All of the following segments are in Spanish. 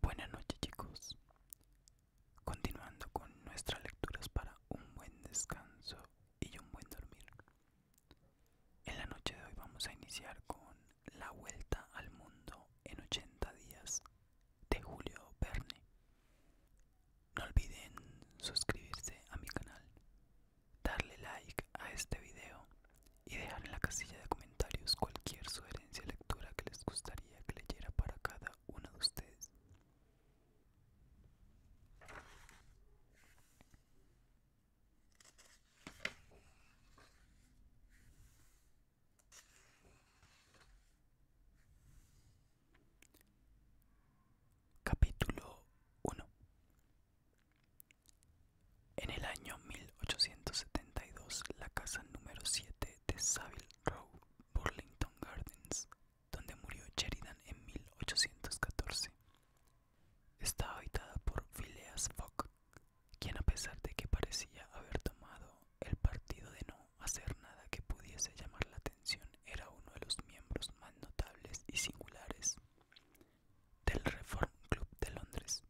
Buenas noches chicos. Continuando con nuestras lecturas para un buen descanso y un buen dormir. En la noche de hoy vamos a iniciar con La Vuelta al Mundo en 80 días de Julio Verne. No olviden suscribirse a mi canal, darle like a este video y dejar en la casilla de comentarios cualquier sugerencia lectura que les gustaría que leyera para cada uno de ustedes. Capítulo 1 En el año 1872, la casa número 7 de Savile Row, Burlington Gardens, donde murió Sheridan en 1814. Estaba habitada por Phileas Fogg, quien a pesar de que parecía haber tomado el partido de no hacer nada que pudiese llamar la atención, era uno de los miembros más notables y singulares del Reform Club de Londres.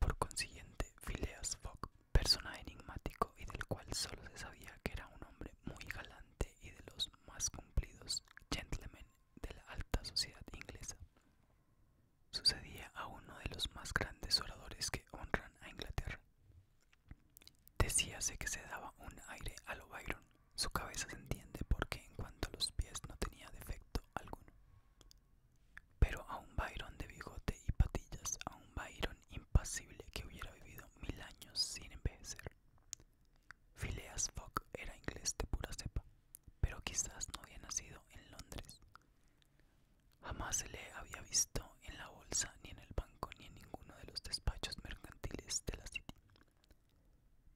Por consiguiente, Phileas Fogg, persona enigmático y del cual solo se sabía que era un hombre muy galante y de los más cumplidos gentlemen de la alta sociedad inglesa, sucedía a uno de los más grandes oradores que honran a Inglaterra. Decíase que se daba un aire a lo Byron, su cabeza se entiende porque en cuanto a los pies no tenía defecto alguno. Pero a un Byron de bigote y patillas, a un Byron impasible que hubiera vivido mil años sin envejecer. Phileas Fogg era inglés de pura cepa, pero quizás no había nacido en Londres. Jamás se le había visto en la bolsa, ni en el banco, ni en ninguno de los despachos mercantiles de la City.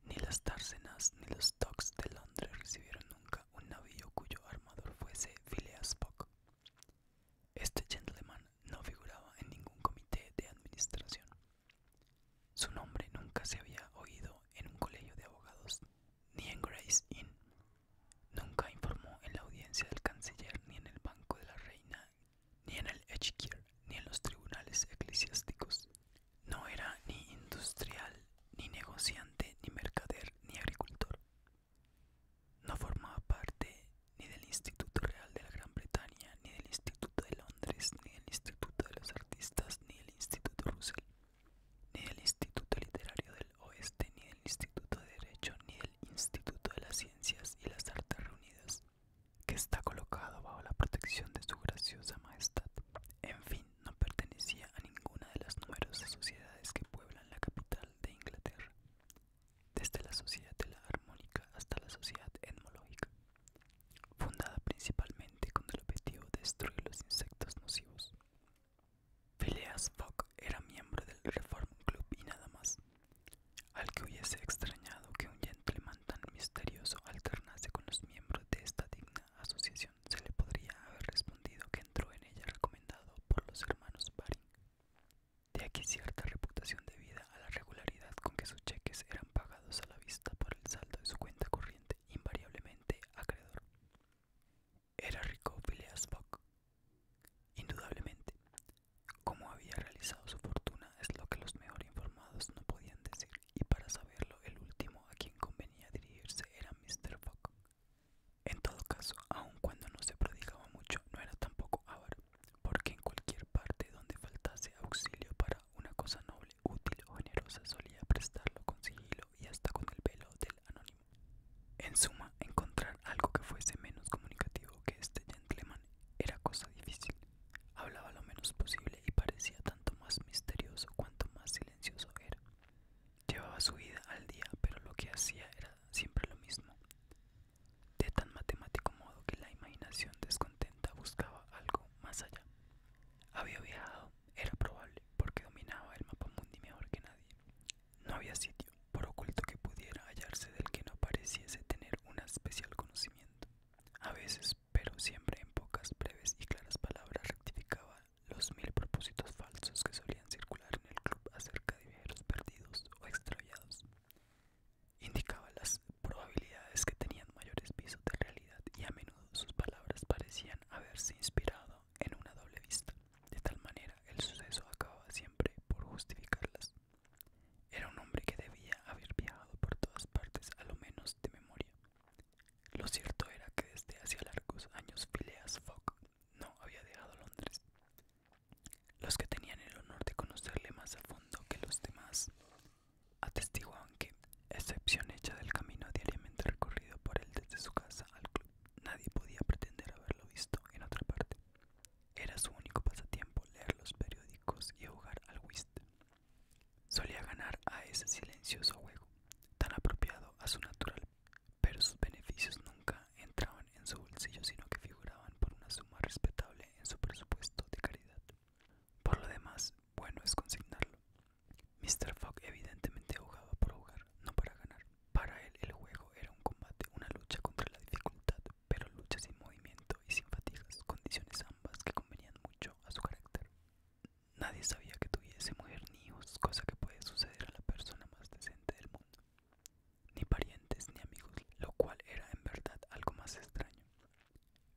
Ni las Társenas ni los Docks de Londres recibieron nunca un navío cuyo armador fuese Phileas Fogg. Este gentleman no figuraba en ningún comité de administración. Su nombre nunca se había oído en un colegio de abogados, ni en Grace Inn. Nunca informó en la audiencia del canciller, ni en el Banco de la Reina, ni en el Exchequer ni en los tribunales eclesiásticos. No era ni industrial, ni negociante, ni mercader, ni agricultor. No formaba parte ni del Instituto Real de la Gran Bretaña, ni del Instituto de Londres, ni del Instituto de los Artistas, ni del Instituto Russell, ni del Instituto Literario del Oeste, ni del Instituto de Derecho, ni del Instituto de las Ciencias y las Artes Reunidas, que está colocado bajo la protección de su graciosa majestad. En fin, no pertenecía a ninguna de las numerosas sociedades que pueblan la capital de Inglaterra desde la sociedad de la armónica hasta la sociedad Etmológica, fundada principalmente con el objetivo de destruir los insectos nocivos. Phileas Fogg era miembro del Reform Club y nada más, al que hubiese extrañado que un gentleman tan misterioso alternase con los miembros de esta digna asociación, se le podría haber respondido que entró en ella recomendado por los hermanos Baring. De aquí cierta reputación debida a la regularidad con que sus cheques eran pagados a la vista por el saldo de su cuenta corriente invariablemente acreedor. Era rico Phileas Fogg. Indudablemente, cómo había realizado su fortuna es lo que los mejor informados no podían decir, y para saberlo el último a quien convenía dirigirse era Mr. Fogg, en todo caso, aun cuando no se prodigaba mucho, no era tampoco avaro, porque en cualquier parte donde faltase auxilio para una cosa noble, útil o generosa solía prestarlo con sigilo y hasta con el velo del anónimo. En suma, encontrar algo que fuese menos comunicativo que este gentleman era cosa difícil. Hablaba lo menos posible y parecía tanto más misterioso cuanto más silencioso era. Llevaba su vida al día, pero lo que hacía era siempre lo mismo. De tan matemático modo que la imaginación descontenta buscaba algo más allá. Había viajado, era probable, porque dominaba el mapa mundi mejor que nadie. No había sitio, por oculto que pudiera hallarse, del que no pareciese tener un especial conocimiento. A veces, pero siempre en pocas breves y claras palabras, rectificaba los mil propósitos falsos que solían circular en el club acerca de viajeros perdidos o extraviados. Indicaba las probabilidades que tenían mayores pisos de realidad y a menudo sus palabras parecían haberse inspirado en una doble vista. De tal manera, el suceso acababa siempre por justificarlas. Era un hombre que debía haber viajado por todas partes, a lo menos de memoria. Lo cierto era que desde hacía largos años Phileas Fogg no había dejado Londres. Los que tenían el honor de conocerle más a fondo que los demás atestiguaban que, excepción hecha del camino diariamente recorrido por él desde su casa al club, nadie podía pretender haberlo visto en otra parte. Era su único pasatiempo leer los periódicos y jugar al whist. Solía ganar a ese silencioso juego, tan apropiado a su natural pero sus beneficios nunca entraban en su bolsillo, sino que figuraban por una suma respetable en su presupuesto de caridad. Por lo demás, bueno es consignarlo. Mr. Fogg evidentemente jugaba por jugar, no para ganar. Para él el juego era un combate, una lucha contra la dificultad, pero lucha sin movimiento y sin fatigas, condiciones ambas que convenían mucho a su carácter. Nadie sabía que tuviese mujer ni hijos, cosa que puede suceder a la persona más decente del mundo ni parientes ni amigos, lo cual era en verdad algo más extraño.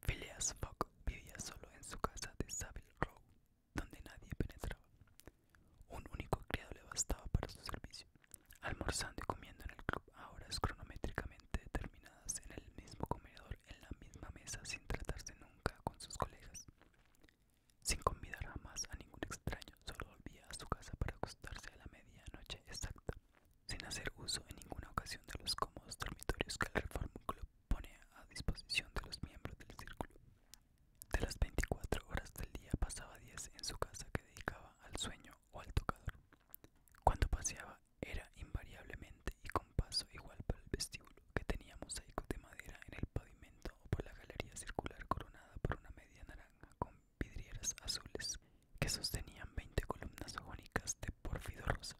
Phileas Fogg vivía solo en su casa de Savile Row, donde nadie penetraba. Un único criado le bastaba para su servicio, almorzando y comiendo en el club a horas cronométricamente determinadas en el mismo comedor, en la misma mesa, sin tratarse nunca con sus colegas. Sin convidar jamás a ningún extraño, solo a su casa para acostarse a la medianoche exacta, sin hacer uso en ninguna ocasión de los cómodos dormitorios que el Reform Club pone a disposición de los miembros del círculo. De las 24 horas del día pasaba 10 en su casa que dedicaba al sueño o al tocador. Cuando paseaba era invariablemente y con paso igual por el vestíbulo que tenía mosaicos de madera en el pavimento o por la galería circular coronada por una media naranja con vidrieras azules que sostenían 20 columnas jónicas de pórfido rosa.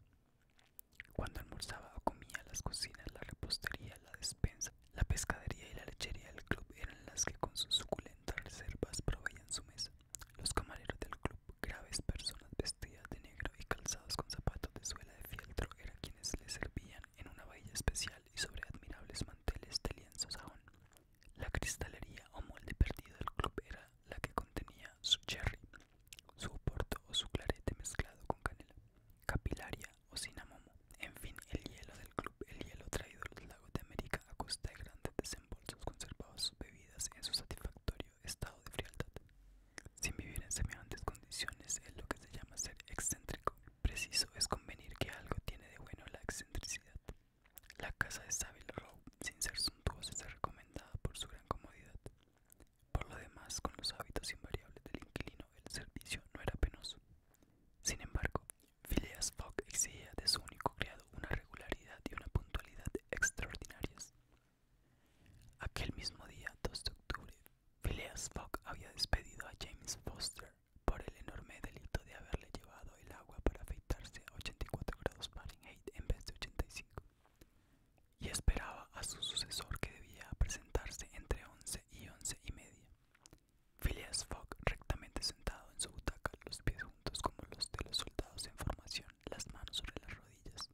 Cuando almorzaba o comía, las cocinas, la repostería, la despensa, la pescadería y la lechería del club eran las que con sus suculentas reservas proveían su mesa. Los camareros del club, graves personas vestidas de negro y calzados con zapatos de suela de fieltro, eran quienes les servían en una vajilla especial y sobre admirables manteles de lienzo sajón. La cristalería o molde perdido del club era la que contenía su cherry, su oporto o su clarete mezclado con canela, capilaria o cinamomo. En fin, el hielo del club, el hielo traído del lago de América a costa de grandes desembolsos, conservaba sus bebidas en su satisfactorio estado de frialdad. Sin vivir en semejantes condiciones es lo que se llama ser excéntrico. Preciso es convenir que algo tiene de bueno la excentricidad. La casa de Savile Row, sin ser suntuosa, está recomendada por su gran comodidad. Por lo demás, con los hábitos invariables del inquilino, el servicio no era penoso. Sin embargo, Phileas Fogg exigía de su único criado una regularidad y una puntualidad extraordinarias. Aquel mismo día, 2 de octubre, Phileas Fogg había despedido a James Foster, por el enorme delito de haberle llevado el agua para afeitarse a 84 grados Fahrenheit en vez de 85, y esperaba a su sucesor que debía presentarse entre 11 y 11 y media. Phileas Fogg, rectamente sentado en su butaca, los pies juntos como los de los soldados en formación, las manos sobre las rodillas,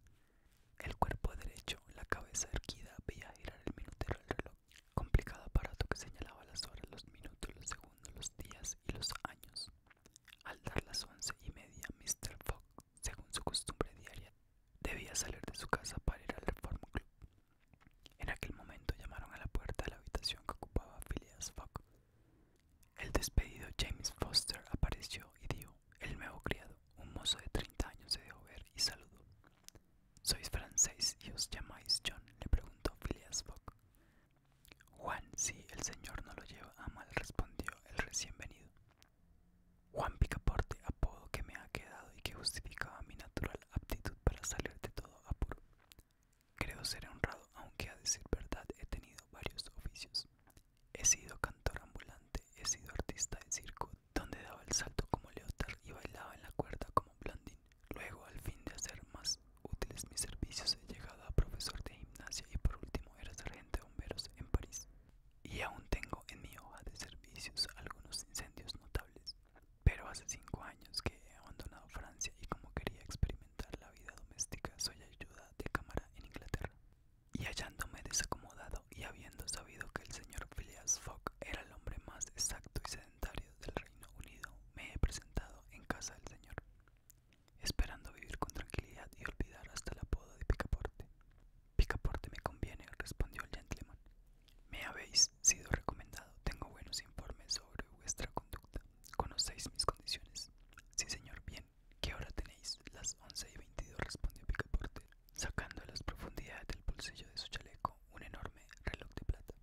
el cuerpo derecho, la cabeza erguida, veía girar el minutero del reloj, complicado aparato que señalaba las horas, los minutos, los segundos los días y los años. Al dar las once y media, Mr. Fogg, según su costumbre diaria, debía salir de su casa para ir al Reform Club. En aquel momento llamaron a la puerta de la habitación que ocupaba Phileas Fogg. El despedido James Foster apareció y dio, el nuevo criado, un mozo de 30 años se dejó ver y saludó. ¿Sois francés y os llamáis John? le preguntó Phileas Fogg. Juan, si el Señor no lo lleva a mal, respondió el recién venido. Juan Picaporte, apodo que me ha quedado y que justificaba mi natural aptitud para salir de todo apuro. Creo ser honrado, aunque a decir verdad he tenido varios oficios. He sido cantor ambulante, he sido artista de circo, donde daba el salto como Leotard y bailaba en la cuerda como blondín Luego, al fin de hacer más útiles mis servicios, he llegado a profesor de gimnasia y por último era sargento de bomberos en París. Y aún tengo en mi hoja de servicios algunos incendios notables. Pero hace cinco años que he abandonado Francia y como quería experimentar la vida doméstica, soy ayuda de cámara en Inglaterra. Y hallándome desacomodado y habiendo sabido que el señor Phileas Fogg era el hombre más exacto y sedentario del Reino Unido, me he presentado en casa del señor esperando vivir con tranquilidad y olvidar hasta la apodo de Picaporte. Picaporte me conviene, respondió el gentleman. Me habéis sido recomendado, tengo buenos informes sobre vuestra conducta. ¿Conocéis mis condiciones? Sí, señor, bien. ¿Qué hora tenéis? Las once y veintidós, respondió Picaporte, sacando a las profundidades del bolsillo de su chaleco un enorme reloj de plata.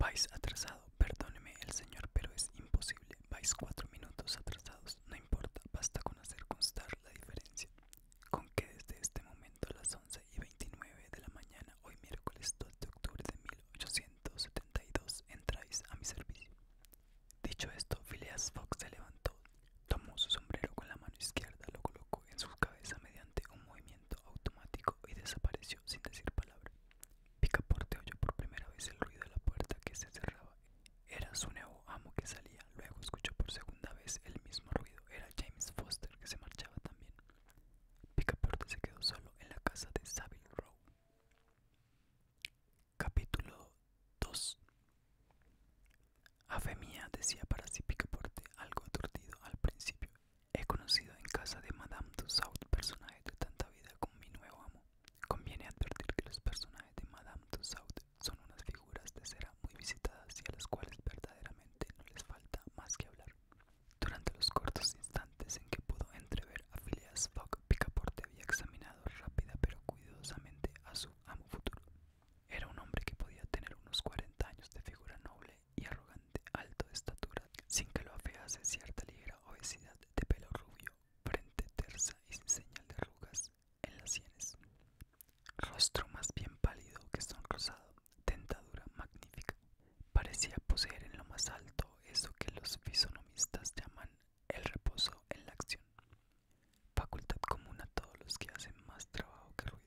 Vais atrasado, perdóneme el señor, pero es imposible. Vais cuatro minutos atrasados, no importa, basta con hacer constar la diferencia. Con que desde este momento a las 11 y 29 de la mañana, hoy miércoles 2 de octubre de 1872, entráis a mi servicio. Dicho esto, Phileas Fox se levantó, tomó su sombrero con la mano izquierda, lo colocó en su cabeza mediante un movimiento automático y desapareció sin decir palabra. Picaporte oyó por primera vez el ruido de la puerta que se cerraba. Era su nuevo amo que salía. Luego escuchó por segunda vez el mismo ruido. Era James Foster que se marchaba también. Picaporte se quedó solo en la casa de Savile Row. Capítulo 2 A decía para sí Picaporte, algo aturdido al principio. He conocido en casa de Madame Tussaud personajes de tanta vida como mi nuevo amo. Conviene advertir que los personajes de Madame Tussaud son unas figuras de cera muy visitadas y a las cuales verdaderamente no les falta más que hablar. Durante los cortos instantes en que pudo entrever a Phileas Fogg, Picaporte había examinado rápida pero cuidadosamente a su amo futuro. Era un hombre que podía tener unos 40 años de figura noble y arrogante, alto de estatura, sin que lo afease cierta ligera obesidad de pelo rubio, frente tersa y sin señal de arrugas en las sienes. Rostro más bien pálido que sonrosado, dentadura magnífica. Parecía poseer en lo más alto eso que los fisonomistas llaman el reposo en la acción. Facultad común a todos los que hacen más trabajo que ruido.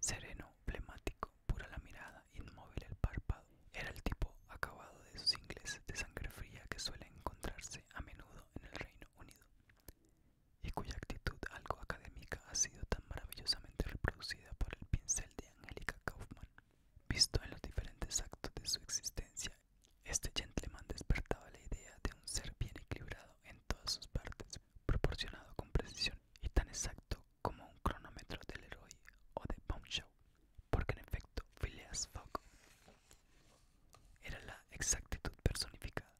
Sereno, flemático, pura la mirada, inmóvil el párpado. Era el tipo acabado de esos ingleses de sangre fría que suele encontrarse a menudo en el Reino Unido y cuya actitud algo académica ha sido tan maravillosamente reproducida por el pincel de Angélica Kaufman. Visto en los diferentes actos de su existencia, este gentleman despertaba la idea de un ser bien equilibrado en todas sus partes, proporcionado con precisión y tan exacto como un cronómetro del héroe o de Bombshell, porque en efecto Phileas Fogg era la exactitud personificada,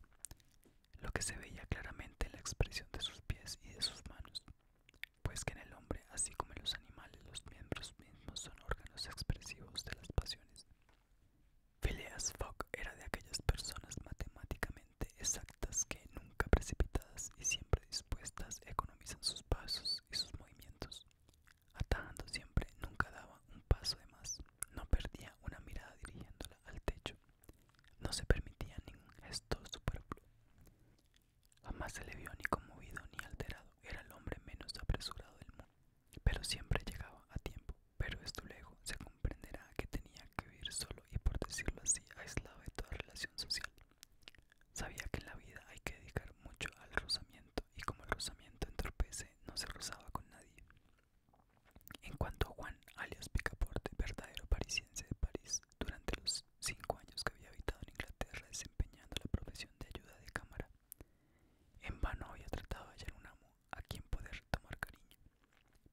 lo que se veía claramente en la expresión de sus pies y de sus manos, pues que en el hombre, así como en los animales, los miembros mismos son órganos expresivos de las pasiones. Phileas Fogg era de aquellas personas matemáticamente exactas que nunca precipitadas y siempre dispuestas economizan sus pasos y sus movimientos. Atajando siempre, nunca daba un paso de más, no perdía una mirada dirigiéndola al techo, no se permitía ningún gesto superfluo. Jamás se le vio ni conmovido ni alterado, era el hombre menos apresurado del mundo, pero siempre llegaba a tiempo. Pero esto luego se comprenderá que tenía que vivir solo y por decirlo así, aislado de toda relación social. Sabía que en la vida hay que dedicar mucho al rozamiento y como el rozamiento entorpece no se rozaba con nadie. En cuanto a Juan, alias Picaporte, verdadero parisiense de París, durante los cinco años que había habitado en Inglaterra desempeñando la profesión de ayuda de cámara, en vano había tratado de hallar un amo a quien poder tomar cariño.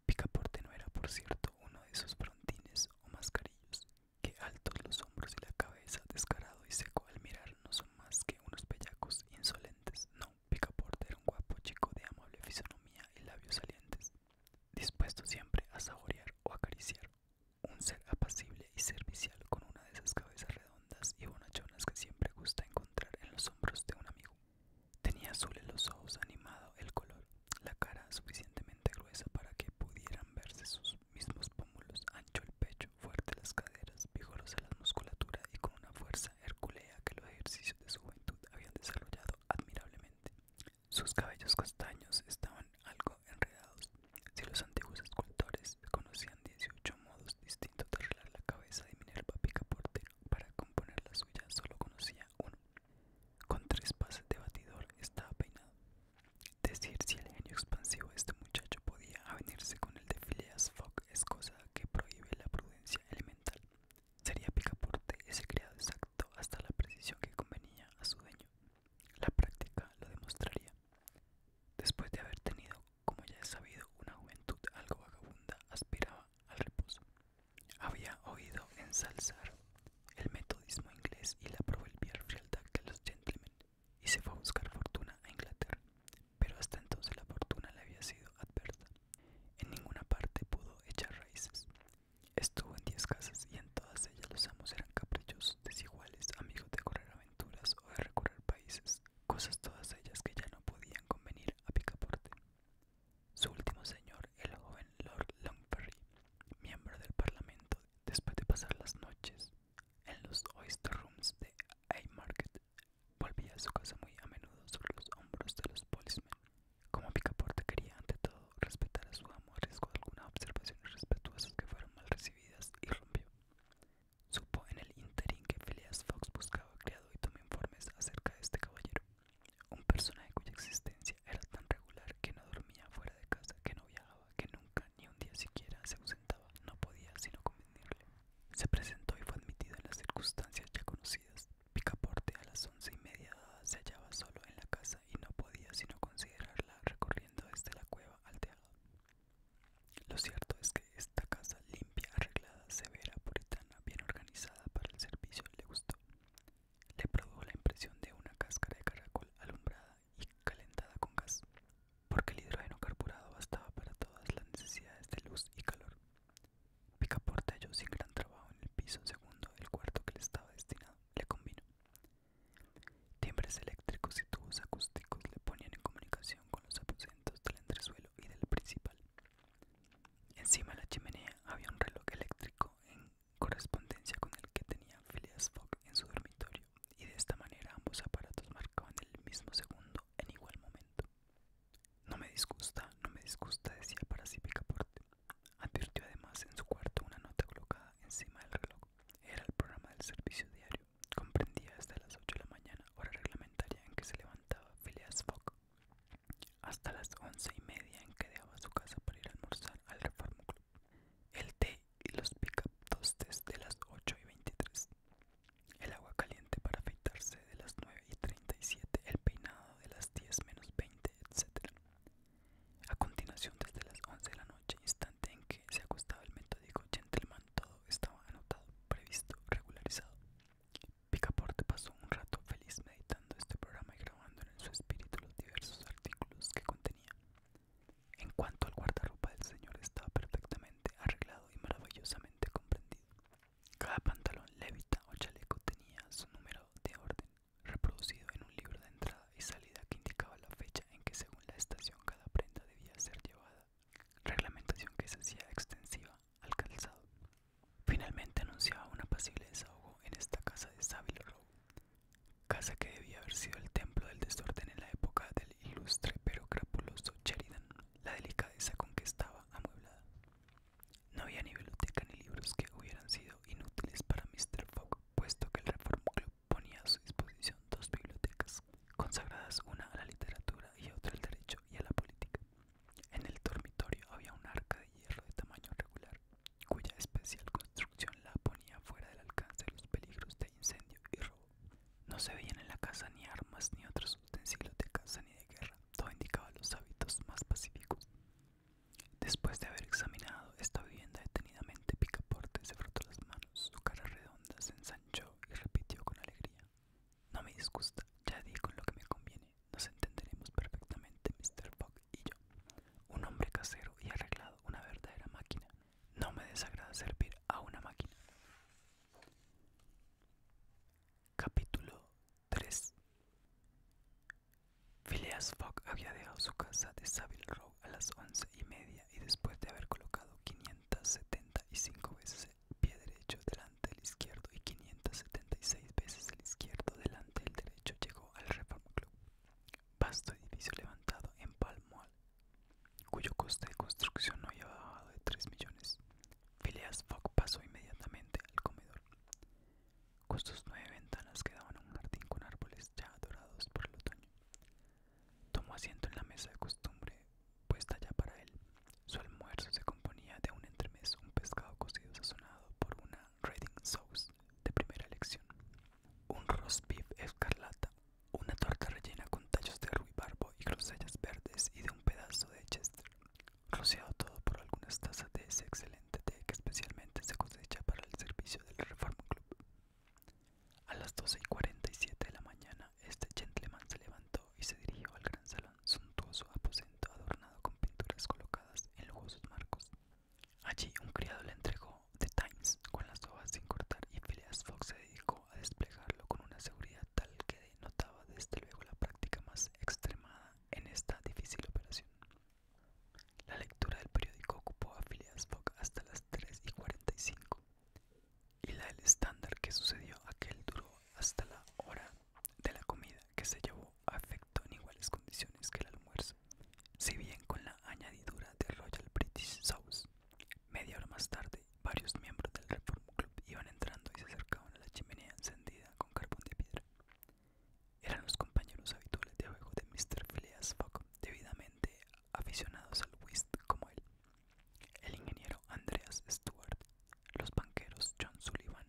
Picaporte no era, por cierto, uno de esos brontines o mascarillos Qué altos los hombros y la cabeza, descarado y seco al mirar, no son más que unos bellacos insolentes. No, Picaporte era un guapo chico de amable fisonomía y labios salientes, dispuesto siempre a saborear o acariciar. Un ser apacible y servicial con una de esas cabezas redondas y bonachonas que siempre gusta encontrar en los hombros de un amigo. Tenía azul en los ojos, animado el color la cara suficientemente gruesa para que pudieran verse sus mismos pómulos, ancho el pecho, fuerte las caderas, vigorosa la musculatura y con una fuerza herculea que los ejercicios de su juventud habían desarrollado admirablemente. Sus cabellos castaños estaban algo enredados. Si los antiguos escultores conocían 18 modos distintos de arreglar la cabeza de Minerva Picaporte para componer la suya, solo conocía uno. Con tres pases de batidor estaba peinado. Decir si el genio expansivo de este muchacho podía avenirse con el de Phileas Fogg es cosa que prohíbe la prudencia elemental. Sería picaporte ese criado exacto hasta la precisión que convenía a su dueño. La práctica lo demostraría. Después de haber tenido, como ya he sabido, una juventud algo vagabunda, aspiraba al reposo. Había oído ensalzar el metodismo inglés y la aprobó de los gentlemen y se fue a buscar fortuna a Inglaterra, pero hasta entonces la fortuna le había sido adversa. En ninguna parte pudo echar raíces. Estuvo en diez casas y en todas ellas los amos eran caprichosos, desiguales, amigos de correr aventuras o de recorrer países, cosas todas ellas que ya no podían convenir a Picaporte. Su último señor, el joven Lord Longferry, miembro del Parlamento después de pasar las noches en los oyster rooms de Haymarket, volvía a su casa muy a menudo sobre los hombros de los policemen. Como Picaporte quería ante todo respetar a su amo arriesgó riesgo algunas observaciones respetuosas que fueron mal recibidas y rompió. Supo en el interín que Phileas Fox buscaba criado y tomó informes acerca de este caballero, un personaje cuya existencia era tan regular que no dormía fuera de casa, que no viajaba que nunca, ni un día siquiera, se ausentaba. No podía sino convenirle. Se presentó y fue admitido en las circunstancias ya conocidas. Picaporte a las once y media se hallaba solo en la casa y no podía sino considerarla recorriendo desde la cueva al teatro Lo cierto es que esta casa limpia, arreglada, severa, puritana, bien organizada para el servicio le gustó. Le produjo la impresión de una cáscara de caracol alumbrada y calentada con gas, porque el hidrógeno carburado bastaba para todas las necesidades de luz y calor. Picaporte halló sin gran trabajo en el piso segundo del cuarto que le estaba destinado, le combinó. Timbres eléctricos y tubos acústicos le ponían en comunicación con los aposentos del entresuelo y del principal. Encima de la chimenea había un reloj eléctrico en correspondencia con el que tenía Phileas Fogg en su dormitorio, y de esta manera ambos aparatos marcaban el mismo segundo en igual momento. No me disgusta, no me disgusta, decía para sí Picaporte. Advirtió además en su cuarto una nota colocada encima del reloj. Era el programa del servicio diario. Comprendía hasta las 8 de la mañana, hora reglamentaria en que se levantaba Phileas Fogg, hasta las once y media en que dejaba su casa para ir a almorzar al Reform Club el té y los pick-up tostes de las 8 y 23, el agua caliente para afeitarse de las 9 y 37, el peinado de las 10 menos 20, etc. A continuación, desde las 11 de la noche, instante en que se acostaba el metódico gentleman, todo estaba anotado, previsto, regularizado. Picaporte pasó un rato feliz meditando este programa y grabando en su espíritu los diversos artículos que contenía. En cuanto al guardarropa del señor estaba perfectamente arreglado y maravillosamente comprendido. Cada pantalón, levita o chaleco tenía su número de orden, reproducido en un libro de entrada y salida que indicaba la fecha en que según la estación cada prenda debía ser llevada, reglamentación que se hacía extensiva al calzado. Finalmente anunciaba un apacible desahogo en esta casa de sábilo Row, casa que debía haber sido el templo del desorden en la época del ilustre pero crapuloso Sheridan, la delicadeza con que estaba amueblada. No había ni biblioteca ni libros que hubieran sido inútiles para Mr. Fogg, puesto que el Reform Club ponía a su disposición dos bibliotecas, consagradas una a la literatura y otra al derecho y a la política. En el dormitorio había un arca de hierro de tamaño regular, cuya especial construcción la ponía fuera del alcance de los peligros de incendio y robo. No se veían en la casa ni armas ni otros utensilios de caza ni de guerra. Todo indicaba los hábitos más pacíficos. Después de haber examinado esta vivienda detenidamente, Picaporte se frotó las manos, su cara redonda se ensanchó y repitió con alegría. No me disgusta, ya di con lo que me conviene. Nos entenderemos perfectamente, Mr. Fogg y yo. Un hombre casero y arreglado, una verdadera máquina. No me desagrada servir a una máquina. Capítulo 3 Phileas Fogg había dejado su casa de Savile Row a las once y media y después de haber colocado 575 veces el pie derecho delante del izquierdo y 576 veces el izquierdo delante del derecho llegó al Reform Club. Pasto edificio levantado en Palmoal, cuyo coste de construcción no había bajado de 3 millones. Phileas Fogg pasó inmediatamente al comedor. Con nueve ventanas quedaban daban a un jardín con árboles ya dorados por el otoño. Tomó asiento en la mesa de costumbre, puesta ya para él. Su almuerzo se componía de un entremés, un pescado cocido sazonado por una reading sauce de primera elección, un roast beef escarlata, una torta rellena con tallos de barbo y grosellas verdes y de un pedazo de chester, rociado todo por algunas tazas de ese excelente té que especialmente se cosecha para el servicio del Reform Club. A las 12 y 47 de la mañana, este gentleman se levantó y se dirigió al gran salón, suntuoso aposento adornado con pinturas colocadas en lujosos marcos. Allí un criado le entregó The Times con las hojas sin cortar y Phileas Fogg se dedicó a desplegarlo con una seguridad tal que denotaba desde luego la práctica más extremada en esta difícil operación. La lectura del periódico ocupó a Phileas Fogg hasta las 3 y 45 y la del estándar que sucedió aquel duró hasta la hora de la comida que se llevó a efecto en iguales condiciones que el almuerzo, si bien con la añadidura de Royal British Sauce. Media hora más tarde, varios miembros del Reform Club iban entrando y se acercaban a la chimenea encendida con carbón de piedra. Eran los compañeros habituales de abajo de Mr. Phileas Fogg, debidamente aficionados al whist como él, el ingeniero Andreas Stewart, los banqueros John Sullivan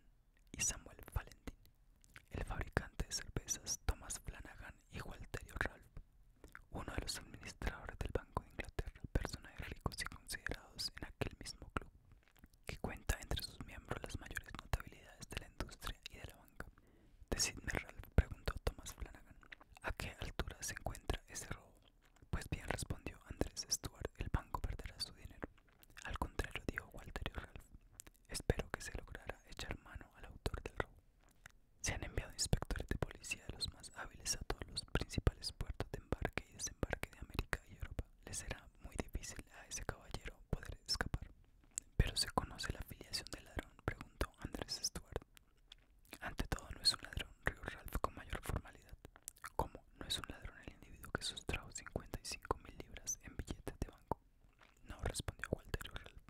y Samuel Valentine, el fabricante de cervezas Thomas Flanagan y Walterio Ralph, uno de los administradores del Banco de Inglaterra, personajes ricos y considerados en aquel mismo club, que cuenta entre sus miembros las mayores notabilidades de la industria y de la banca. Decidme, Ralph, preguntó Thomas Flanagan, ¿a qué altura se encuentra ese robo? Pues bien, respondió Andrés Stuart, el banco perderá su dinero. Al contrario, dijo Walter Ralph, espero que se lograra echar mano al autor del robo. Se han enviado inspectores de policía de los más hábiles a todos los principales puertos de embarque y desembarque de América y Europa. Le será muy difícil a ese caballero poder escapar. ¿Pero se conoce la afiliación del ladrón? preguntó Andrés Stuart. Ante todo, no es un ladrón, rió Ralph con mayor formalidad. ¿Cómo? ¿No es un ladrón el individuo que sustrajo 55 mil libras en billetes de banco? No, respondió Walter Ralph.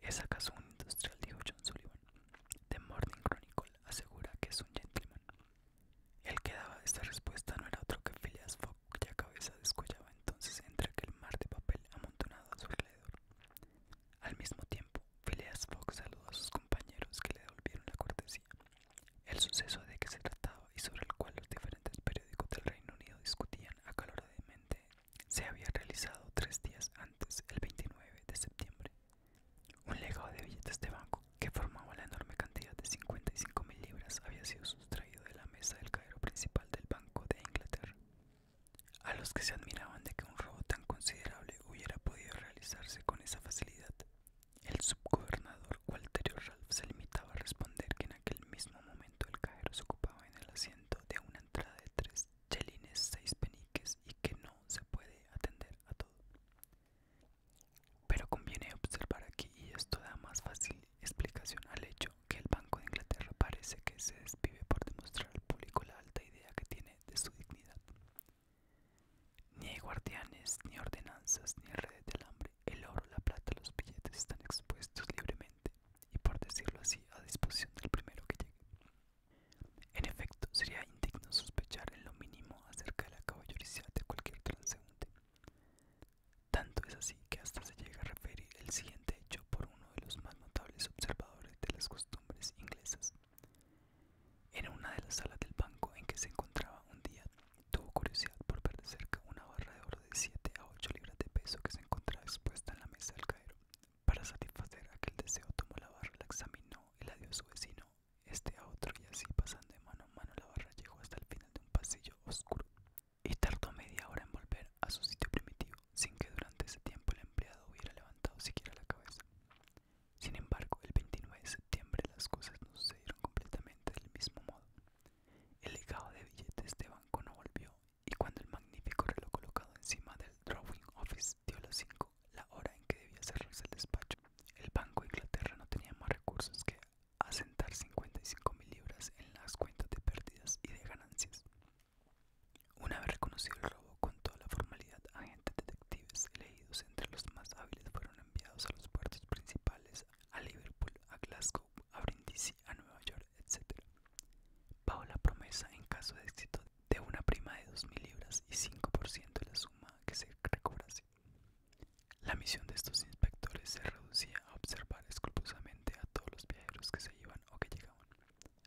¿Es acaso un industrial? dijo John Sullivan. The Morning Chronicle asegura que es un gentleman. El que daba esta respuesta no era otro que Phileas Fogg, cuya cabeza descollaba entonces entre aquel mar de papel amontonado a su alrededor. Al mismo tiempo, Phileas Fogg saludó a sus compañeros que le devolvieron la cortesía. El suceso de que se trataba y sobre el cual los diferentes periódicos del Reino Unido discutían acaloradamente se había realizado tres días antes, el 29 de septiembre. Un legado de billetes de banco que formaba la enorme cantidad de 55 mil libras había sido sustraído de la mesa del cajero principal del Banco de Inglaterra. A los que se admiraban de que un robo tan considerable hubiera podido realizarse con esa facilidad, el subgobernador Walterio Ralph se limitaba a responder que en aquel mismo momento el cajero se ocupaba en el asiento de una entrada de tres chelines, seis peniques y que no se puede atender a todo. Pero conviene observar aquí, y esto da más fácil explicación al hecho, que el Banco de Inglaterra parece que se desvive por demostrar al público la alta idea que tiene de su dignidad. Ni hay guardianes, ni ordenanzas, ni redes del hambre, el oro, la plata, los billetes están expuestos libremente y por decirlo así a disposición del primero que llegue. En efecto, sería indigno sospechar en lo mínimo acerca de la caballería de cualquier transeúnte. Tanto es así que hasta se llega a referir el siguiente hecho por uno de los más notables observadores de las costumbres inglesas. En una de las salas del banco en que se encontraba un día, tuvo curiosidad por ver de cerca una barra de oro de 7 a 8 libras de peso que se encontraba expuesta en la mesa del Cairo, para satisfacer aquel deseo, tomó la barra, la examinó y la dio a su vecino, este a otro, y así pasando de mano a mano la barra llegó hasta el final de un pasillo oscuro y tardó media hora en volver a su sitio primitivo, sin que durante ese tiempo el empleado hubiera levantado siquiera la cabeza. Sin embargo, el 29 de septiembre las cosas no sucedieron completamente del mismo modo. El legado de billetes de banco no volvió y cuando el magnífico reloj colocado encima del drawing office dio las 5, la hora en que debía cerrarse el despacho. El Banco de Inglaterra no tenía más recursos que asentar 55.000 mil libras en las cuentas de pérdidas y de ganancias. Una vez reconocido el robo con toda la formalidad, agentes detectives elegidos entre los más hábiles fueron enviados a los puertos principales, a Liverpool, a Glasgow, a Brindisi, a Nueva York, etc. Bajo la promesa, en caso de éxito, de una prima de 2.000 libras y 5% de la suma que se recobrase. La misión de estos inspectores se reducía a observar escrupulosamente a todos los viajeros que se iban o que llegaban,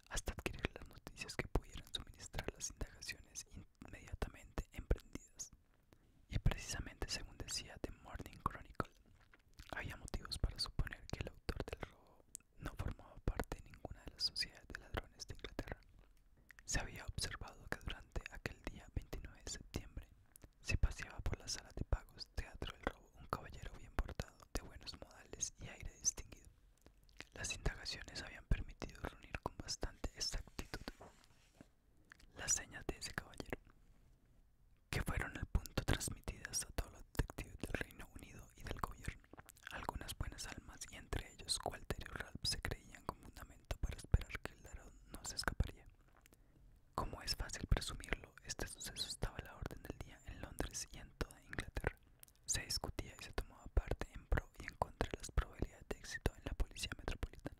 hasta adquirir las noticias que pudieran suministrar las indagaciones inmediatamente emprendidas. Y precisamente según decía The Morning Chronicle, había motivos para suponer que el autor del robo no formaba parte de ninguna de las sociedades de ladrones de Inglaterra. Se había observado que durante aquel día 29 de septiembre se paseaba por la sala de pagos, teatro del robo, un caballero bien portado, de buenos modales y aire distinguido. Las indagaciones habían permitido reunir con bastante exactitud las señas de ese caballero, que fueron al punto transmitidas a todos los detectives del Reino Unido y del gobierno. Algunas buenas almas, y entre ellos Walter y Ralph, se creían con fundamento para esperar que el ladrón no se escaparía. Como es fácil presumirlo, este suceso estaba a la orden del día en Londres y en toda Inglaterra. Se discutía y se tomaba parte en pro y en contra de las probabilidades de éxito en la policía metropolitana.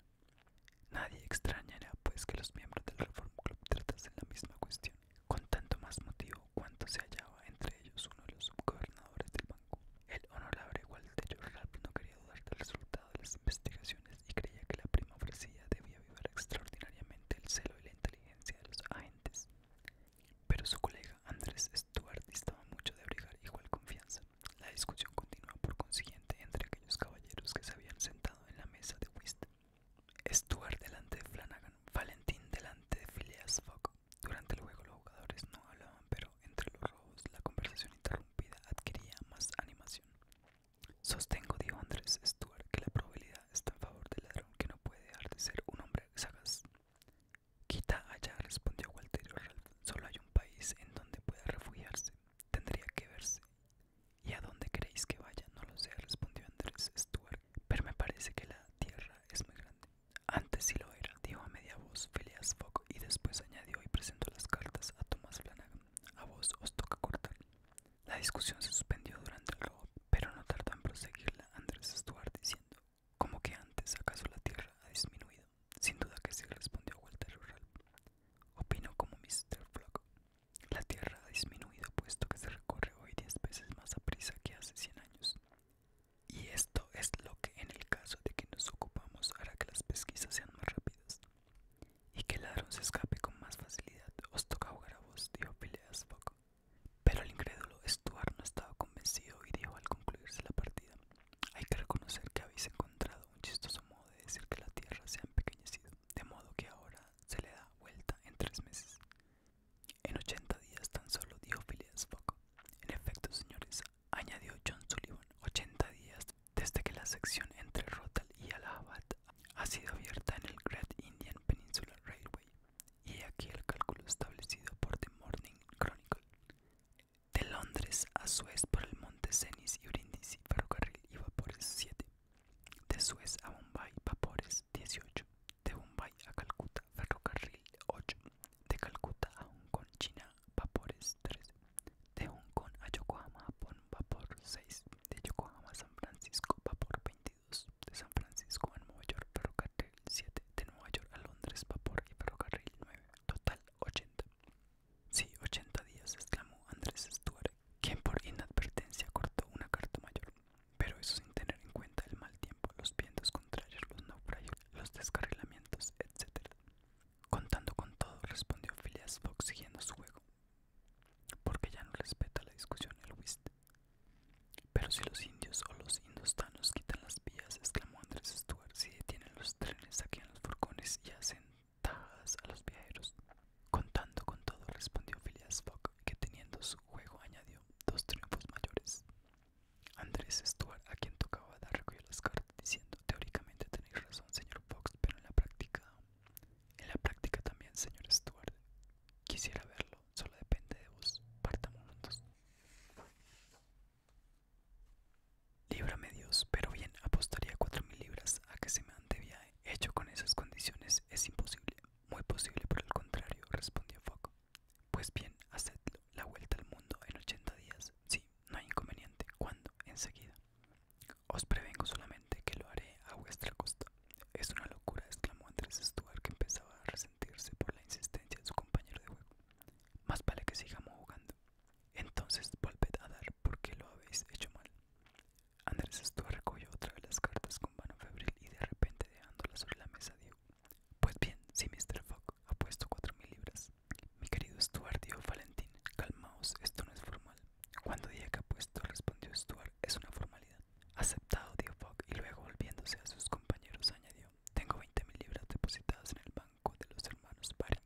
Nadie extrañará pues que los miembros del Reform Club tratasen la misma cuestión, con tanto más motivo cuanto se hallaba entre ellos uno de los subgobernadores del banco. El honorable Walter ralph no quería dudar del resultado de las investigaciones y creía que la prima ofrecida debía vivir extraordinariamente el celo y la inteligencia de los agentes. Pero su colega Andrés Stuart distaba mucho de abrigar igual confianza. La discusión continuó por consiguiente entre aquellos caballeros que se habían sentado en la mesa de whist. Stuart delante de Flanagan, Valentín delante de Phileas Fogg. Durante el juego los jugadores no hablaban, pero entre los robos, la conversación interrumpida adquiría más animación. Sostengo, dijo Andrés Stuart, que la probabilidad está en favor del ladrón que no puede dejar de ser un hombre sagaz. Quita allá, respondió Walter Solo hay un país en donde pueda refugiarse. Tendría que verse. ¿Y a dónde queréis que vaya? No lo sé, respondió Andrés Stuart. Pero me parece que la tierra es muy grande. Antes sí lo era, dijo a media voz Phileas Fogg y después añadió y presentó las cartas a Thomas Flanagan. A vos os toca cortar. La discusión se suspendió durante el robo, pero no tardó en proseguirla Andrés Stuart diciendo, como que antes acaso la tierra ha disminuido? Sin duda que sí respondió Walter Rural. Opino como Mr. Flock. La tierra ha disminuido puesto que se recorre hoy diez veces más a prisa que hace cien años. Y esto es lo que en el caso de que nos ocupamos hará que las pesquisas sean más rápidas y que el ladrón se escape con más facilidad. Os toca jugar a vos, dijo Phileas Pero el incrédulo Stuart no estaba convencido y dijo al concluirse la partida: Hay que reconocer que habéis encontrado un chistoso modo de decir que la tierra se ha empequeñecido, de modo que ahora se le da vuelta en tres meses. En ochenta días tan solo, dijo Phileas Fogg. En efecto, señores, añadió John Sullivan, 80 días desde que la sección entre Rotal y Allahabad ha sido abierta en el Great Indian Peninsula Railway, y aquí el cálculo establecido por The Morning Chronicle. De Londres a Suez por el monte Cenis y Brindisi, ferrocarril y vapores 7. De Suez a Bombay, vapores 18. De Bombay a Calcuta, ferrocarril 8 de Calcuta a Hong Kong, China, vapores 3, de Hong Kong a Yokohama, Japón, vapor 6, de Yokohama a San Francisco, vapor 22, de San Francisco a Nueva York, ferrocarril 7, de Nueva York a Londres, vapor y ferrocarril 9, total 80. Sí, 80 días, exclamó Andrés Stuart, quien por inadvertencia cortó una carta mayor, pero eso sin tener en cuenta el mal tiempo, los vientos contrarios, los naufragios los descarrilamientos, etc. Contando con todo, respondió Phileas Fogg siguiendo su juego, porque ya no respeta la discusión el whist. Pero si los indios o los indostanos quitan las vías, exclamó Andrés Stuart, si detienen los trenes, saquen los furcones y hacen tajadas a los viajeros. Contando con todo, respondió Phileas Fogg, que teniendo su juego añadió dos triunfos mayores. Andrés Stuart, a quien tocaba dar, recogió las cartas diciendo, teóricamente tenéis razón, señor Fox, pero en la práctica... En la práctica también, señor Stuart. Quisiera verlo, solo depende de vos. Partamos juntos. Líbrame Dios, pero bien, apostaría cuatro mil libras a que se me antevía hecho con esas condiciones. Es imposible, muy posible por el contrario, respondió Fox Pues bien, haced la vuelta al mundo en 80 días. Sí, no hay inconveniente. ¿Cuándo? Enseguida. Os prevengo solamente que lo haré a vuestra costa. Es una locura, exclamó Andrés Stuart, que empezaba a resentirse por la insistencia de su compañero de juego. Más vale que sigamos jugando. Entonces volved a dar porque lo habéis hecho mal. Andrés Stuart recogió otra de las cartas con mano febril y de repente dejándolas sobre la mesa dijo: Pues bien, si Mr. Fogg ha puesto cuatro mil libras, mi querido Stuart, dijo Valentín, calmaos, esto no es formal. Cuando dije que apuesto, respondió Stuart, es una formalidad. Aceptado, dijo Fogg, y luego volviéndose a sus compañeros añadió, tengo 20 mil libras depositadas en el banco de los hermanos Barry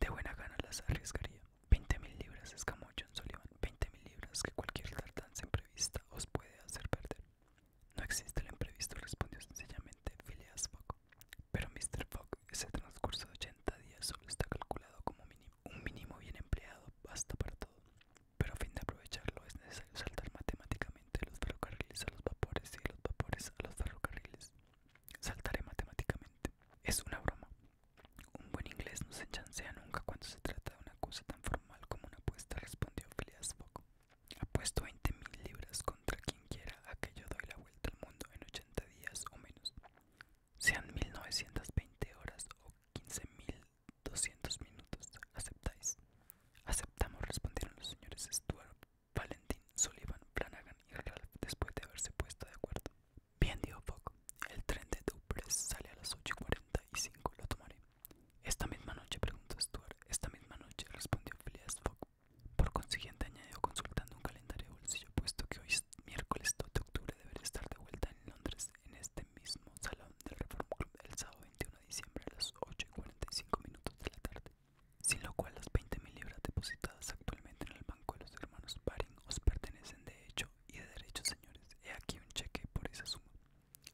De buena gana las arriesgaría. 20 mil libras, es John Sullivan, 20 mil libras que cualquier tardanza imprevista os puede hacer perder. No existe el imprevisto, respondió sencillamente Phileas Fogg. Pero Mr. Fogg, ese transcurso de 80 días solo está calculado como mínimo, un mínimo bien empleado, basta para todo. Pero a fin de aprovecharlo es necesario saltar matemáticamente los ferrocarriles a los vapores y los vapores a los ferrocarriles. Saltaré matemáticamente. Es una broma. Un buen inglés no se chancea nunca cuando se trata de una cosa tan formal como una apuesta, respondió Phileas Fogg. Apuesto 20 mil libras contra quien quiera a que yo doy la vuelta al mundo en 80 días o menos. Sean 1920 horas o 15.200 minutos. ¿Aceptáis? Aceptamos, respondieron los señores Stuart, Valentín, Sullivan, Flanagan y Ralph después de haberse puesto de acuerdo. Bien, dijo Fogg. El tren de Dupress sale a las 8.45. Lo tomaré. Esta misma noche, preguntó Stuart. Esta misma noche, respondió Phileas Fogg. Por consiguiente, añadió consultando un calendario de bolsillo, puesto que hoy es miércoles 2 de octubre deberé estar de vuelta en Londres en este mismo salón del Reform Club el sábado 21 de diciembre a las 8 y 45 minutos de la tarde. Sin lo cual, las 20.000 libras depositadas actualmente en el banco de los hermanos Baring os pertenecen de hecho y de derecho, señores. He aquí un cheque por esa suma.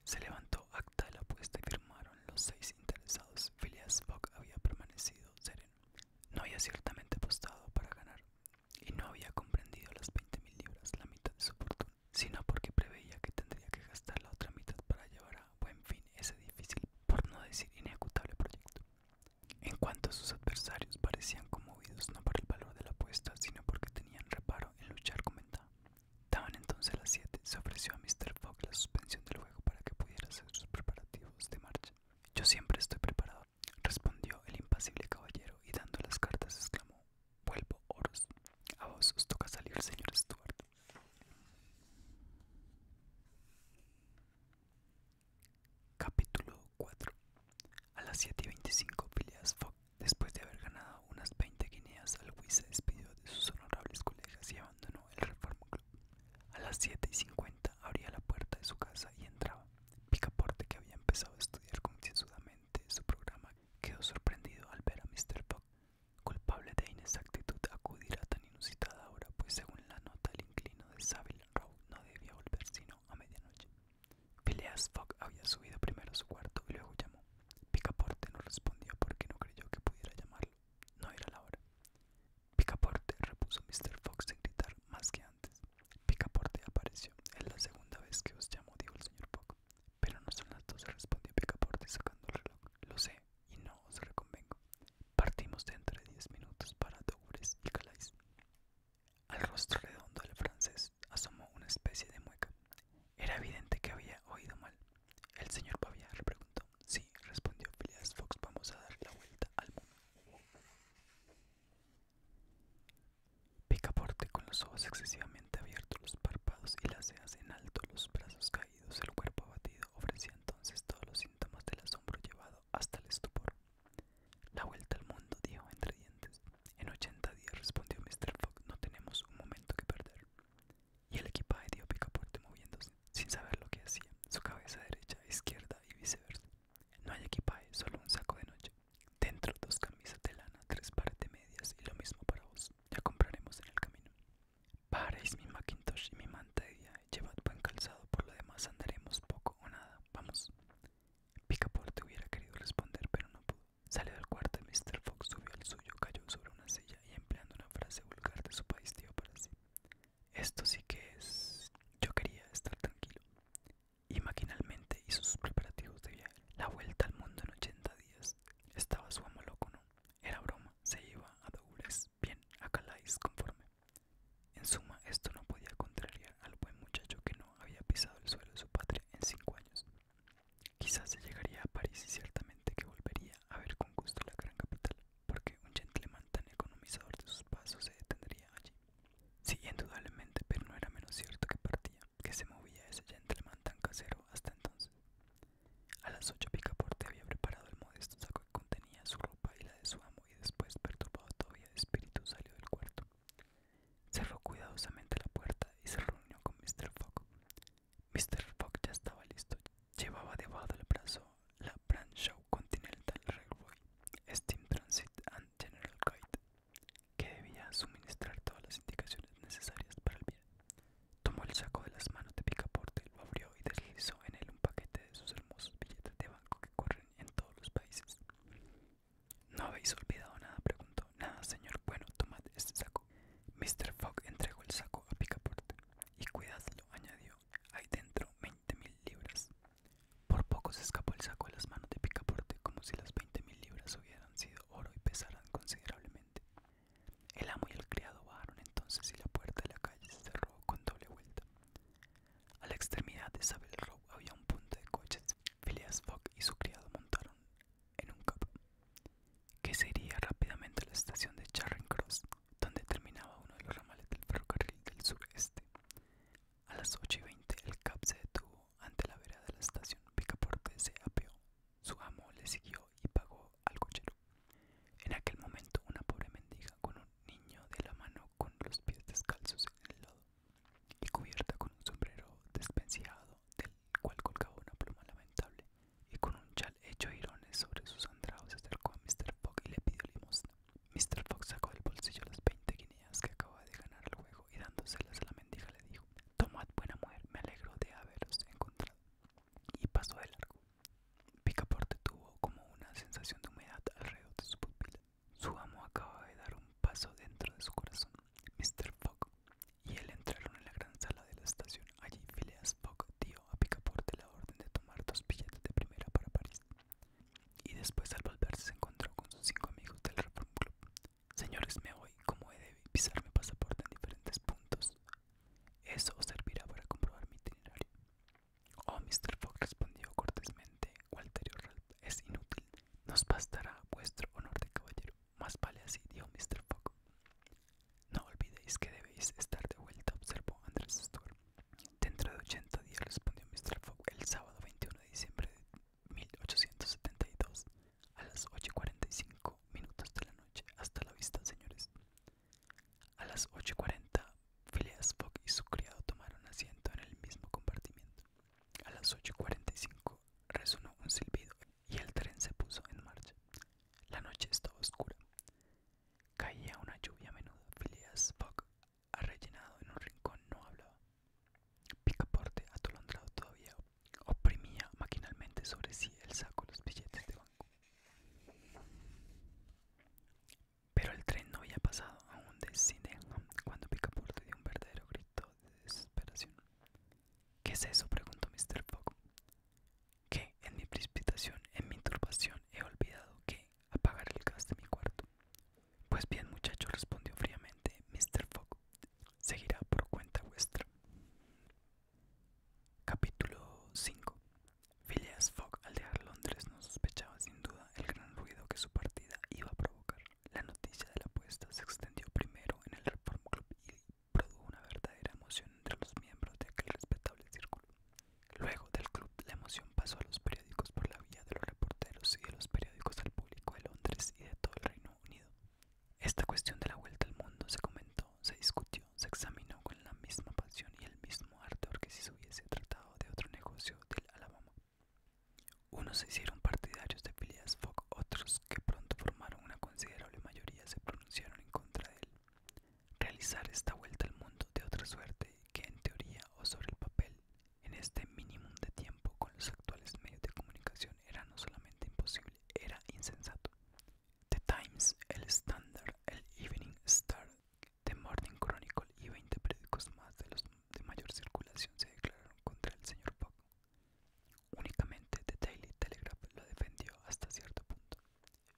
Se levantó acta de la apuesta y firmaron los seis interesados. Phileas Fogg había permanecido sereno. No había ciertamente apostado para ganar y no había comprendido las 20.000 libras, la mitad de su fortuna, sino porque preveía que tendría que gastar la otra mitad para llevar a buen fin ese difícil, por no decir inejecutable proyecto. En cuanto a sus adversarios, parecían conmovidos no por el valor de la apuesta, sino porque tenían reparo en luchar con ventaja. Daban entonces las 7, se ofreció a Mr. Fogg la suspensión del juego para que pudiera hacer sus preparativos de marcha. Yo siempre estoy preparado, respondió el impasible caballero y dando las cartas exclamó: Vuelvo, oros. A vos os toca salir, señor Stuart. Capítulo 4 A las 7 y 25, Phileas Fogg, después de haber ganado unas 20 guineas al juicio se despidió de sus honorables colegas y abandonó el Reforma Club. A las siete y cincuenta abría la puerta de su casa y entraba. Picaporte, que había empezado a estudiar concienzudamente su programa, quedó sorprendido al ver a Mr. Fogg, culpable de inexactitud, acudir a tan inusitada hora, pues según la nota el inclino de Savile Row no debía volver sino a medianoche. Phileas Fogg había subido primero a su cuarto y luego llamó. Picaporte no respondió porque no creyó que pudiera llamarlo. No era la hora. Picaporte, repuso Mr. Fox sin gritar más que antes. Picaporte apareció. Es la segunda vez que os llamo, dijo el señor Fox Pero no son las dos respondió Picaporte sacando el reloj. Lo sé y no os reconvengo. Partimos dentro de diez minutos para Douglas y Calais. Al rostro redondo del francés asomó una especie de mueca. Era evidente que había oído mal. El señor Pavia le preguntó. Sí, respondió Phileas Fox, vamos a dar la vuelta al mundo. Picaporte con los ojos excesivamente abiertos, los párpados y las cejas en alto, los brazos caídos, el cuerpo abatido, ofrecía entonces todos los síntomas del asombro llevado hasta el estupor. La vuelta al mundo, dijo entre dientes. En ochenta días, respondió Mr. Fogg, no tenemos un momento que perder. Y el equipaje, dio Picaporte moviéndose sin saber lo que hacía, su cabeza derecha, izquierda y viceversa. No hay equipaje, solo un saco de noche. Dentro dos camisas de lana, tres pares de medias y lo mismo para vos. Ya compraremos en el camino. Paréis mi Macintosh y mi manta de Llevad buen calzado, por lo demás andaremos poco o nada. Vamos. Picaporte hubiera querido responder, pero no pudo. Salió del cuarto y Mr. Fox subió al suyo, cayó sobre una silla y empleando una frase vulgar de su país dio para sí. Esto sí que es... Yo quería estar tranquilo. Y maquinalmente hizo sus preparativos de viaje. La vuelta al mundo en 80 días. Estaba su amo loco, ¿no? Era broma. Se iba a dobles, bien, a Calais conforme. En suma, esto no podía contrariar al buen muchacho que no había pisado el suelo de su patria en cinco años. Quizás se llegaría a París y ciertamente que volvería a ver con gusto la gran capital porque un gentleman tan economizador de sus pasos se detendría allí. Sí, indudablemente, pero no era menos cierto que partía, que se movía ese gentleman tan casero hasta entonces. A las ocho Picaporte había preparado el modesto saco que contenía su ropa y la de su amo y después, perturbado todavía de espíritu, salió del cuarto. Cerró cuidadosamente la puerta y se reunió con Mr. Fogg. Mr. Fogg ya estaba listo. Llevaba debajo del brazo la show Continental Railway, Steam Transit and General Guide, que debía suministrar todas las indicaciones necesarias para el viaje. Tomó el saco de las manos de Picaporte, lo abrió y deslizó en él un paquete de sus hermosos billetes de banco que corren en todos los países. ¿No habéis olvidado nada? preguntó. Nada, señor. Bueno, tomad este saco. Mr. Fogg entregó el saco a Picaporte. Y cuidadlo, añadió. Ahí dentro me mil libras. Por poco se escapó el saco de las manos de Picaporte, como si las 20.000 mil libras hubieran sido oro y pesaran considerablemente. El amo y el criado bajaron entonces y la puerta de la calle se cerró con doble vuelta. A la extremidad de Isabel Row había un punto de coches. Phileas Fogg y su criado montaron en un cabo, que se rápidamente a la estación de Charing Cross donde terminaba uno de los ramales del ferrocarril del sureste. A las 8 y 20 el cab se detuvo ante la vereda de la estación. Picaporte se apeó. Su amo le siguió y pagó al cochero. En aquel momento una pobre mendiga con un niño de la mano con los pies descalzos en el lodo y cubierta con un sombrero despenciado, del cual colgaba una pluma lamentable y con un chal hecho de irones sobre sus andrados se acercó a Mr. Pug y le pidió limosna. Mr. Fox sacó del bolsillo las 20 guineas que acababa de ganar el juego y dándoselas a la mendiga le dijo: Tomad, buena mujer, me alegro de haberos encontrado. Y pasó de largo. Picaporte tuvo como una sensación de humedad alrededor de su pupila. Su amo acaba de dar un paso dentro de su corazón. Mr. Fox, y él entraron en la gran sala de la estación. Allí Phileas Fogg dio a Picaporte la orden de tomar dos billetes de primera para París. Y después al volverse, se encontró con sus cinco amigos del Reform Club. Señores, me voy, como he de pisar mi pasaporte en diferentes puntos. Eso os servirá para comprobar mi itinerario. Oh, Mr. Fogg respondió cortésmente Walterio es inútil. Nos bastará vuestro honor de caballero. Más vale así, dijo Mr. Fogg. No olvidéis que debéis estar de vuelta, observó Andrés Stuart. Dentro de 80 días, respondió Mr. Fogg el sábado 21 de diciembre de 1872 a las 8.45 minutos de la noche. Hasta la vista, señores. A las 8.40, Phileas Fogg y su criado tomaron asiento en el mismo compartimiento. A las 8.45 resonó un silbido y el tren se puso en marcha. La noche estaba oscura. Caía una lluvia menuda. Phileas Fogg rellenado en un rincón, no hablaba. Picaporte, atolondrado todavía, oprimía maquinalmente sobre sí el saco los billetes de banco. Pero el tren no había pasado aún de Sydenham cuando Picaporte dio un verdadero grito de desesperación. ¿Qué es eso? preguntó Mr. Poco Que en mi precipitación, en mi turbación, he olvidado que apagar el gas de mi cuarto. Pues bien, muchacho, respondió fríamente Mr. Fogg. Seguirá por cuenta vuestra. Capítulo 5. Phileas Fogg al dejar Londres no sospechaba sin duda el gran ruido que su partida iba a provocar. La noticia de la apuesta se extendió primero en el Reform Club y produjo una verdadera emoción entre los miembros de aquel respetable círculo. Luego del club, la emoción pasó a los periódicos por la vía de los reporteros y de los periódicos al público de Londres y de todo el Reino Unido. Esta cuestión de la vuelta al mundo se comentó, se discutió, se examinó con la misma pasión y el mismo ardor que si se hubiese tratado de otro negocio del Alabama. Unos se hicieron partidarios de Phileas Fogg, otros, que pronto formaron una considerable mayoría, se pronunciaron en contra de él. Realizar esta vuelta al mundo de otra suerte que en teoría o sobre el papel en este mínimo de tiempo, con los actuales medios de comunicación, era no solamente imposible, era insensato. The Times, El Standard, El Evening Star, The Morning Chronicle y 20 periódicos más de los de mayor circulación se declararon contra el señor Fogg. Únicamente The Daily Telegraph lo defendió hasta cierto punto.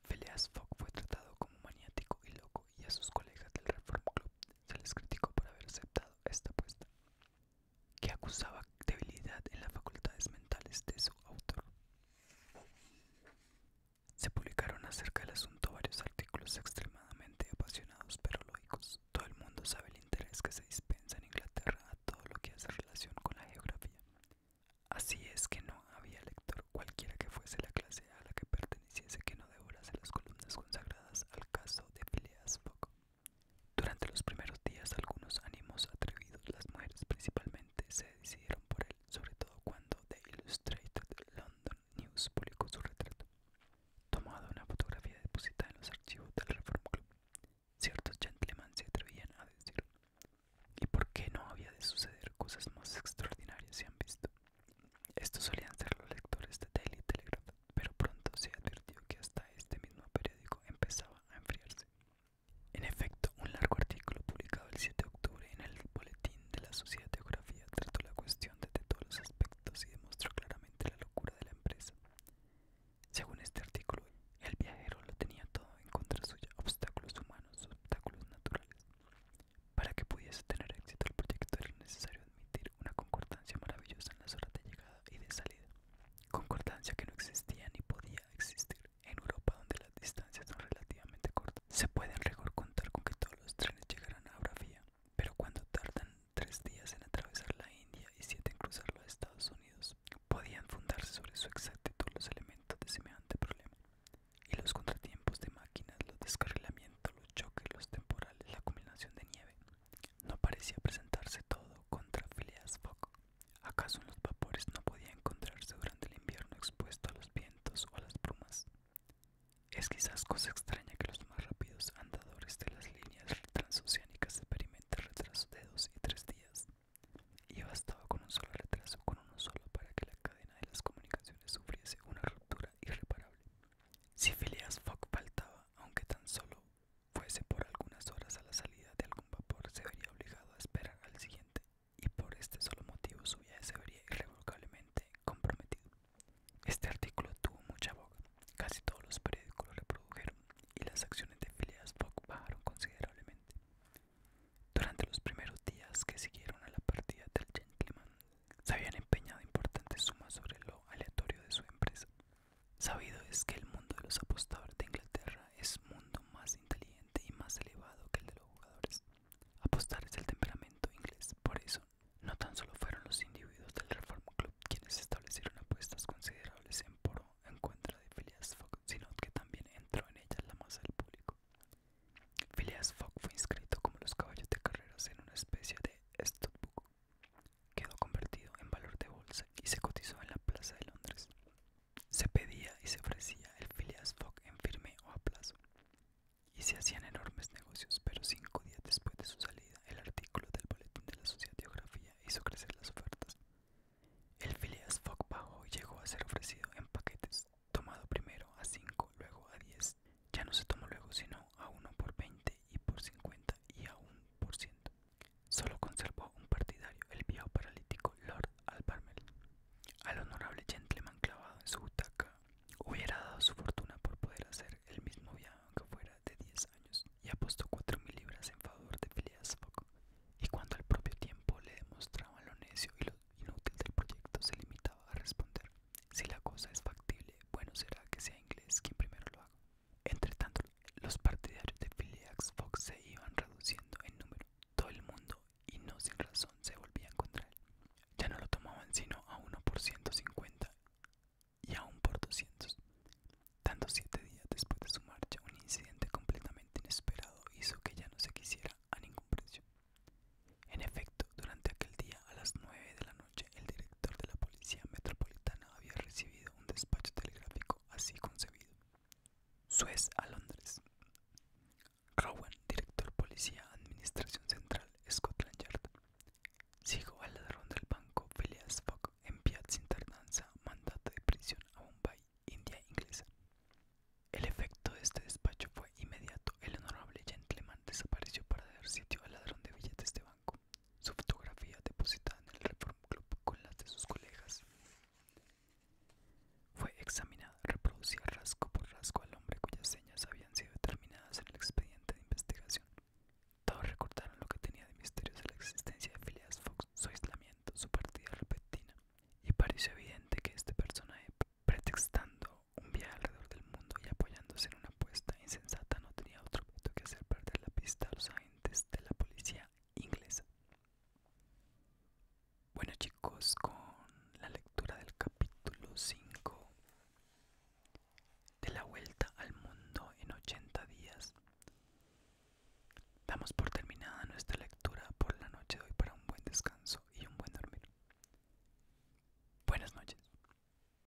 Phileas Fogg fue tratado como maniático y loco y a sus colegas del Reform Club se les criticó por haber aceptado esta apuesta, que acusaba debilidad en las facultades mentales de su autor. Se publicaron acerca del asunto varios artículos extremadamente apasionados pero lógicos. Todo el mundo sabe el interés que se dispensa en Inglaterra a todo lo que hace relación con la geografía. Así es que no había lector, cualquiera que fuese la clase a la que pertenecía Hiciese que no devorase las columnas consagradas al caso de Phileas Fogg. Durante los primeros días algunos ánimos atrevidos, las mujeres principalmente, se decidieron por él, sobre todo cuando The Illustrated London News publicó su retrato. Tomado una fotografía depositada en los archivos del Reform Club, ciertos gentlemen se atrevían a decir, ¿y por qué no había de suceder cosas más extraordinarias se han visto? Estos solían ser los lectores de Daily Telegraph, pero pronto se advirtió que hasta este mismo periódico empezaba a enfriarse. En efecto, un largo artículo publicado el 7 de octubre en el Boletín de la Sociedad de Geografía trató la cuestión desde todos los aspectos y demostró claramente la locura de la empresa. Según este artículo, el viajero lo tenía todo en contra suya, obstáculos humanos, obstáculos naturales. Para que pudiese tener éxito el proyecto era necesario admitir una concordancia maravillosa en las horas de llegada y de salida, concordancia que no existía ni podía existir en Europa donde las distancias son relativamente cortas. Se puede en rigor contar con que todos los trenes llegarán a Bravía, pero cuando tardan tres días en atravesar la India y siete en cruzar los Estados Unidos, podían fundarse sobre su exactitud los elementos de semejante problema y los contratiempos de máquinas, los descarrilamientos, los choque, los temporales, la combinación de nieve. No parecía presentarse todo contra Phileas Fogg. ¿Acaso los vapores no podían encontrarse durante el invierno expuesto a los vientos o a las brumas? Es quizás cosa extraña que los más rápidos andadores de las líneas transoceánicas experimenten retrasos de dos y tres días. Y bastaba con un solo retraso, con uno solo, para que la cadena de las comunicaciones sufriese una ruptura irreparable. Si Phileas Fogg faltaba, aunque tan solo fuese por algunas horas a la salida de algún vapor, se vería obligado a esperar al siguiente, y por este solo motivo su viaje se vería irrevocablemente comprometido. Este artículo tuvo mucha boca, casi todos los periódicos lo reprodujeron, y las acciones de Phileas Fogg bajaron considerablemente. Durante los primeros días que siguieron a la partida del gentleman, se habían empeñado importantes sumas sobre lo aleatorio de su empresa. Sabido es que el mundo de los apostadores de Inglaterra es mundo más inteligente y más elevado que el de los jugadores. Apostar es el temperamento inglés, por eso no tan solo fueron los individuos del Reform Club quienes establecieron apuestas considerables en poro en contra de Phileas Fogg, sino que también entró en ellas la masa del público. Phileas Fogg fue inscrito como los caballos de carreras en una especie de studbook quedó convertido en valor de bolsa y se cotizó en la Plaza de Londres. Se pedía y se ofrecía el Phileas Fogg en firme o a plazo, y se hacían enormes negocios, pero cinco días después de su salida, el artículo del boletín de la Sociedad hizo crecer las ofertas. El Phileas Fogg bajó y llegó a ser ofrecido en paquetes, tomado primero a 5, luego a diez ya no se tomó luego sino a uno por 20 y por 50 y a un por ciento. Solo conservó un partidario, el viejo paralítico Lord Alparmel Al honorable gentleman clavado en su butaca hubiera dado su fortuna por poder hacer el mismo viaje aunque fuera de 10 años y apostó cuatro mil libras en favor de Phileas Fogg. Y cuando al propio tiempo le demostraban lo necio y lo inútil del proyecto se limitaba a responder si la cosa es factible, bueno será que sea inglés quien primero lo haga. Entre tanto, los partidarios de Phileas Fox se iban reduciendo en número. Todo el mundo, y no sin razón, se volvía contra él. Ya no lo tomaban sino a uno por 150 y aún por 200. Tanto siete días después de su marcha, un incidente completamente inesperado hizo que ya no se quisiera a ningún precio. En efecto, durante aquel día, a las 9 de la noche el director de la Policía Metropolitana había recibido un despacho telegráfico así concebido. Suez a Londres. Rowan, director Policía Administración Central, Scotland Yard. Sigo al ladrón del banco Phileas Fogg, enviado sin tardanza mandato de prisión a Bombay, India inglesa. El efecto de este despacho fue inmediato. El honorable gentleman desapareció para dar sitio al ladrón de billetes de banco su fotografía depositada en el Reform Club con las de sus colegas. Fue examinada, reproducida rasgo por rasgo al hombre cuyas señas habían sido determinadas en el expediente de investigación. Todos recordaron lo que tenía de misteriosa la existencia de Phileas Fox, su aislamiento, su partida repentina, y pareció evidente que este personaje, pretextando un viaje alrededor del mundo y apoyándose en una puesta insensata no tenía otro objeto que hacer perder la pista a los agentes de la policía inglesa. Bueno chicos, con la lectura del capítulo 5 de la vuelta al mundo en 80 días, damos por terminada nuestra lectura por la noche de hoy para un buen descanso y un buen dormir. Buenas noches.